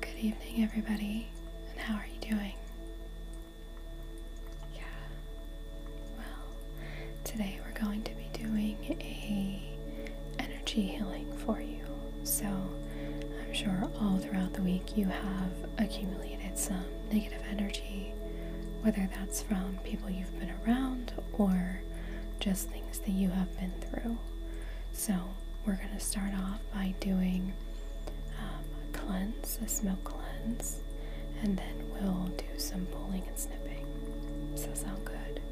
Good evening, everybody, and how are you doing? Yeah, well, today we're going to be doing a energy healing for you. So I'm sure all throughout the week you have accumulated some negative energy, whether that's from people you've been around or just things that you have been through. So, we're going to start off by doing um, a cleanse, a smoke cleanse, and then we'll do some pulling and snipping. Does that sound good?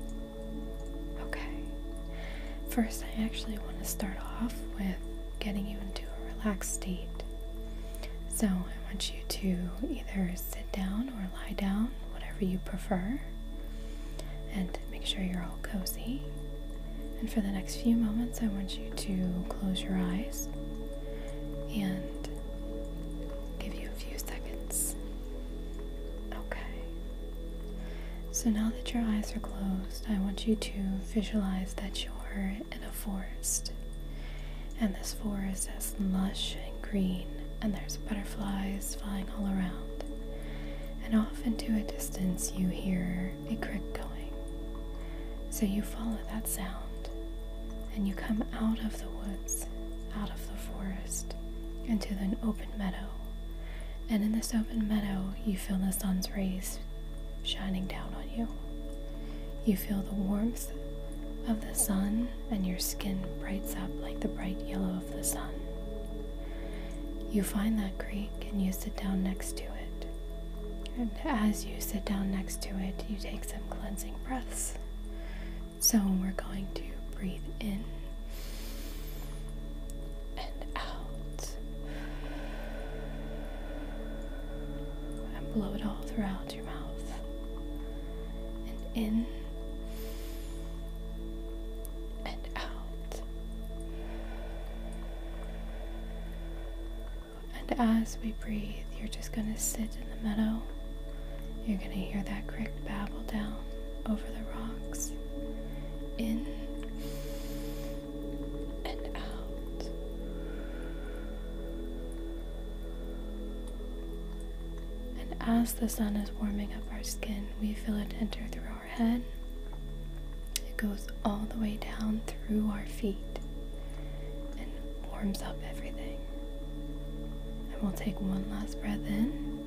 Okay. First, I actually want to start off with getting you into a relaxed state. So I want you to either sit down or lie down, whatever you prefer, and make sure you're all cozy. And for the next few moments, I want you to close your eyes and give you a few seconds. Okay. So now that your eyes are closed, I want you to visualize that you shore in a forest. And this forest is lush and green, and there's butterflies flying all around. And off into a distance, you hear a crick going. So you follow that sound, and you come out of the woods, out of the forest, into an open meadow. And in this open meadow, you feel the sun's rays shining down on you. You feel the warmth of the sun, and your skin brights up like the bright yellow of the sun. You find that creek and you sit down next to it. And as you sit down next to it, you take some cleansing breaths. So we're going to breathe in and out. And blow it all throughout your mouth. And in and out. And as we breathe, you're just going to sit in the meadow. You're going to hear that creek babble down over the rocks. In and out. And as the sun is warming up our skin, we feel it enter through our head. It goes all the way down through our feet and warms up everything. And we'll take one last breath in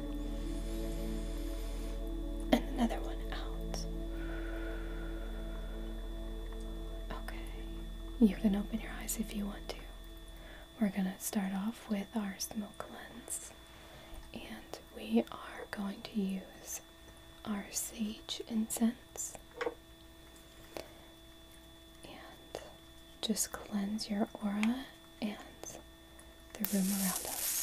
and another one out. Okay, you can open your eyes if you want to. We're going to start off with our smoke cleanse, and we are going to use our sage incense and just cleanse your aura and the room around us.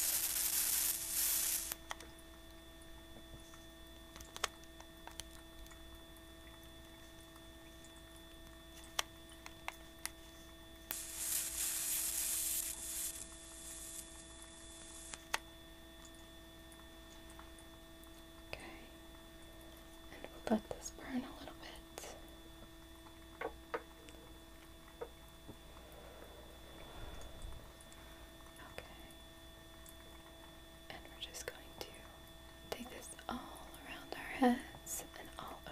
Okay, and we'll let this burn a little bit. Okay. And we're just going to take this all around our heads and all over.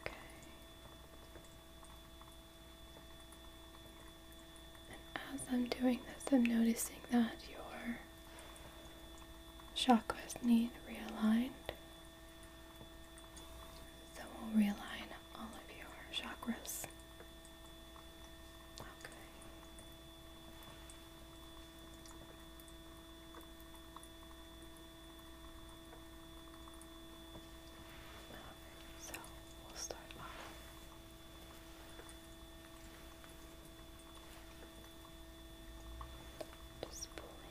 Okay. And as I'm doing this, I'm noticing that your chakras need realigned. So we'll realign all of your chakras. Okay. so we'll start off just pulling.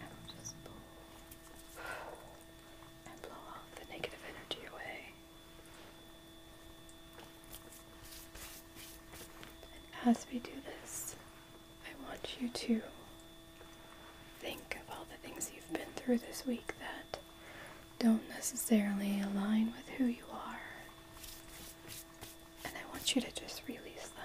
And just blow and blow all the negative energy away as we do this, I want you to think of all the things you've been through this week that don't necessarily align with who you are. And I want you to just release them.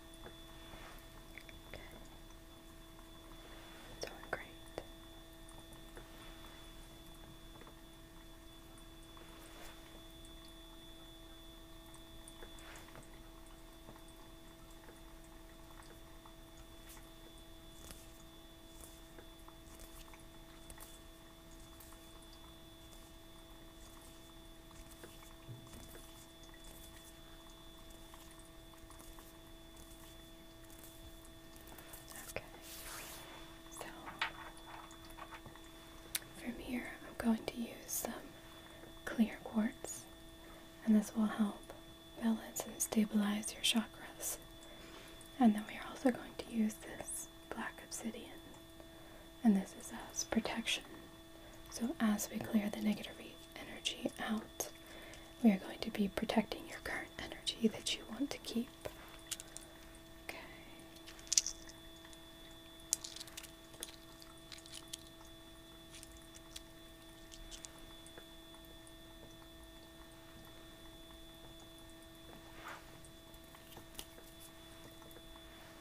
Okay. It's all great. Okay. So from here I'm going to use some clear quartz and this will help balance and stabilize your chakras. And then we are also going to use this black obsidian and this is as protection so as we clear the negative energy out, we are going to be protecting your current energy that you want to keep. Okay.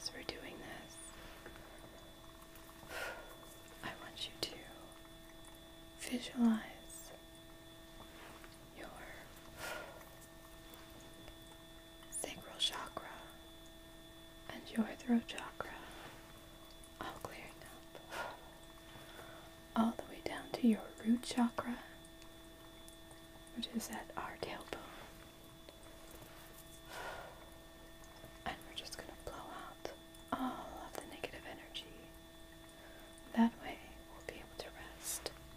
as we're doing this, I want you to visualize your sacral chakra, and your throat chakra, all clearing up, all the way down to your root chakra, which is at our tailbone. And we're just going to blow out all of the negative energy. That way, we'll be able to rest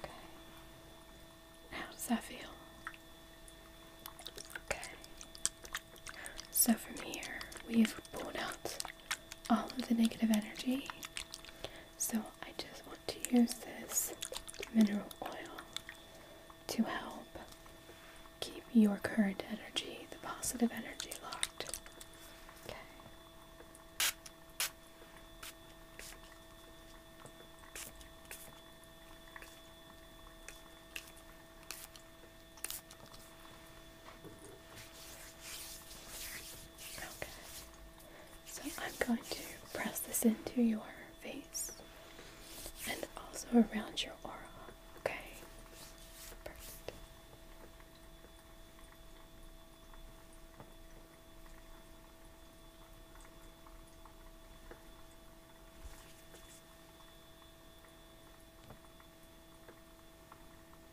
Okay. How does that feel? Okay. So from here, we've pulled out all of the negative energy so I just want to use this mineral oil to help keep your current energy, the positive energy, locked. Okay. So I'm going to press this into your face and also around your aura. Okay. Perfect. Okay.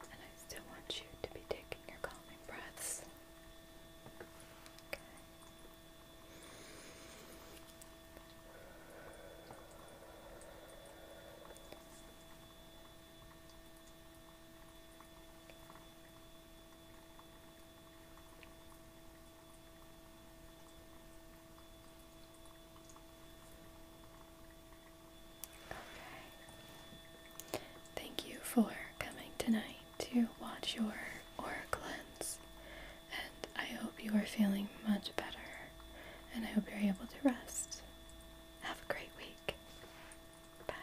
Alright. And I still want you to be taking your calming breaths. Okay. Okay. Thank you for coming tonight to watch your aura cleanse, and I hope you are feeling much better, and I hope you're able to rest. Have a great week. Bye.